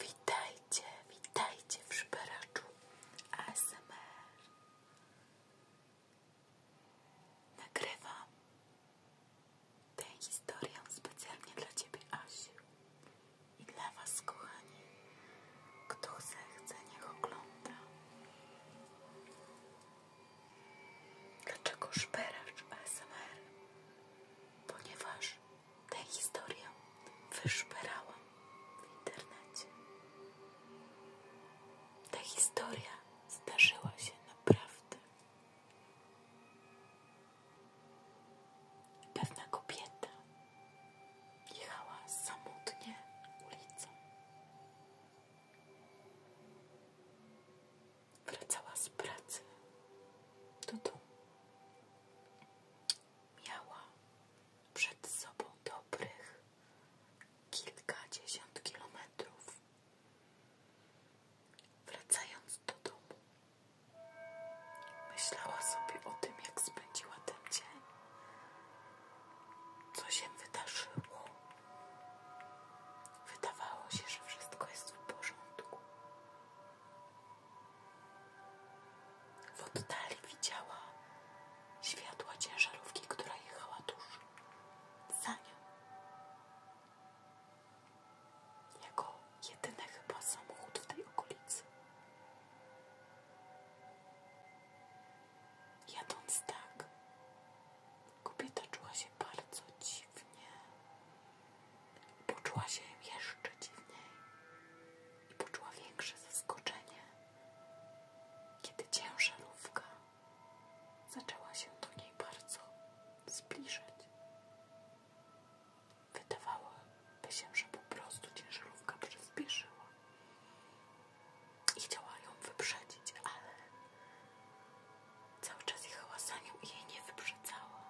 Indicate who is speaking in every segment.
Speaker 1: Witajcie, witajcie w szperaczu ASMR. Nagrywam tę historię specjalnie dla Ciebie, Asiu, i dla Was, kochani. Kto zechce, niech ogląda. Dlaczego szperacz ASMR? Ponieważ ta historia wyszperałam w internecie. Ta historia zdarzyła się naprawdę. Pewna kobieta jechała samotnie ulicą wracała z pracy do domu. Miała przed sobą dobrych kilkadziesiąt kilometrów. Wracając do domu, myślała sobie o tym, jak spędziła ten dzień, co się wydarzyło, Wydawało się, że wszystko jest w porządku. W oddali widziała światła ciężarówki, która jechała tuż za nią. Jako jedyny chyba samochód w tej okolicy. Jadąc tak, Kobieta czuła się bardzo dziwnie. Poczuła się jeszcze dziwniej i poczuła większe zaskoczenie, kiedy ciężarówka zaczęła się do niej bardzo zbliżać. Wydawałoby się, że po prostu ciężarówka przyspieszyła i chciała ją wyprzedzić, ale Cały czas jechała za nią i jej nie wyprzedzała.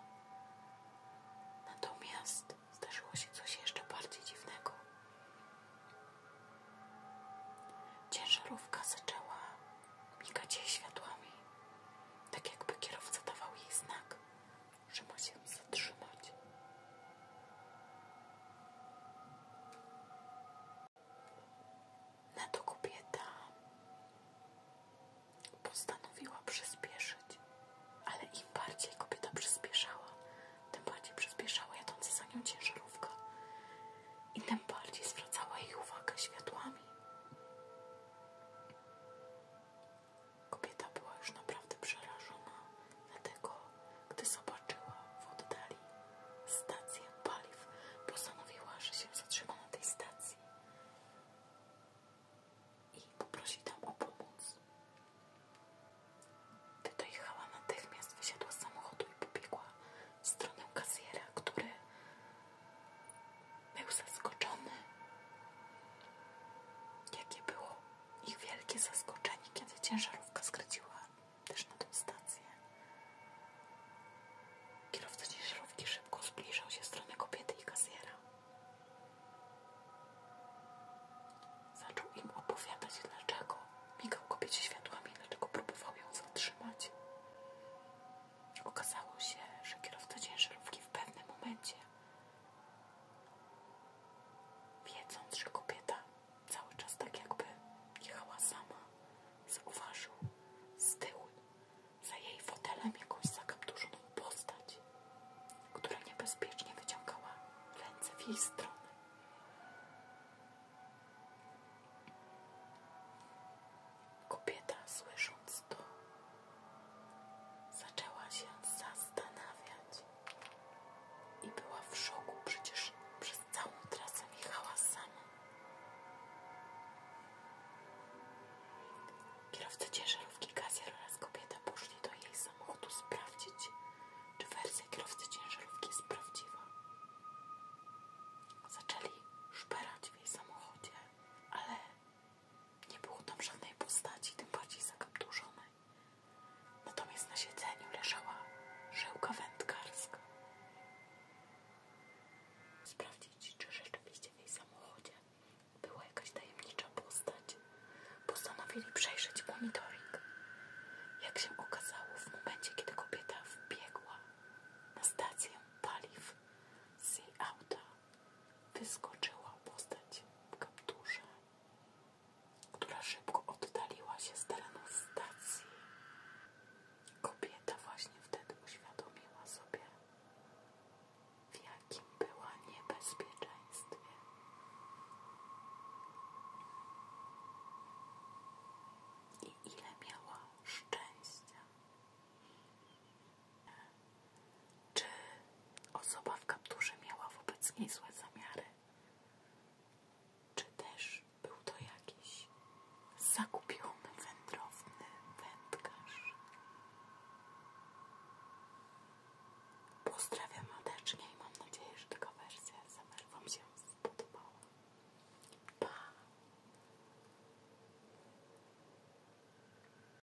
Speaker 1: Natomiast zdarzyło się coś jeszcze bardziej dziwnego. Ciężarówka zaczęła migać jej światłami, tak jakby kierowca dawał jej znak, że ma się zatrzymać. Na to kobieta postanowiła przyspieszyć, ale im bardziej kobieta przyspieszała, tym bardziej przyspieszała jadąca za nią ciężarówka i tym bardziej zwracała jej uwagę światłami. Kobieta była już naprawdę przerażona, dlatego gdy zobaczyła w oddali stację paliw, postanowiła, że się zatrzyma na tej stacji i poprosi tam o pomoc. Gdy dojechała natychmiast, wysiadła z samochodu i pobiegła w stronę kasjera, który był zaskoczony. Jakie było ich wielkie zaskoczenie, kiedy ciężarówka skręciła też na tą stację. Kierowca ciężarówki szybko zbliżał się w stronę kobiety i kasiera. Zaczął im opowiadać dlaczego migał kobiecie światłami, dlaczego próbował ją zatrzymać. Okazało się, że kierowca ciężarówki w pewnym momencie, wiedząc, że kobieta cały czas tak jakby jechała sama, zauważył z tyłu za jej fotelem jakąś zakapturzoną postać, która niebezpiecznie wyciągała ręce w jej stronę. Kobieta, słysząc to, zaczęła się zastanawiać, i była w szoku, przecież przez całą trasę jechała sama. Kierowca ciężarówki Kasier oraz kobieta poszli do jej samochodu sprawdzić, czy wersja kierowcy ciężarówki jest prawdziwa. Zaczęli szperać w jej samochodzie, ale nie było tam żadnej postaci, tym bardziej zakapturzonej. Natomiast na siedzeniu leżała żyłka wędkarska. Sprawdzić, czy rzeczywiście w jej samochodzie była jakaś tajemnicza postać, postanowili przejrzeć monitoring. Jak się okazało, w momencie, kiedy kobieta wbiegła na stację paliw z jej auta, wyskoczyła postać w kapturze która szybko oddaliła się z terenu stacji. Kobieta właśnie wtedy uświadomiła sobie, w jakim była niebezpieczeństwie. I ile miała szczęścia, czy osoba w kapturze miała wobec niej złe zamiary? Czy też był to jakiś zakupiony, wędrowny wędkarz? Pozdrawiam mateczkę i mam nadzieję, że taka wersja SMR Wam się spodobała. Pa!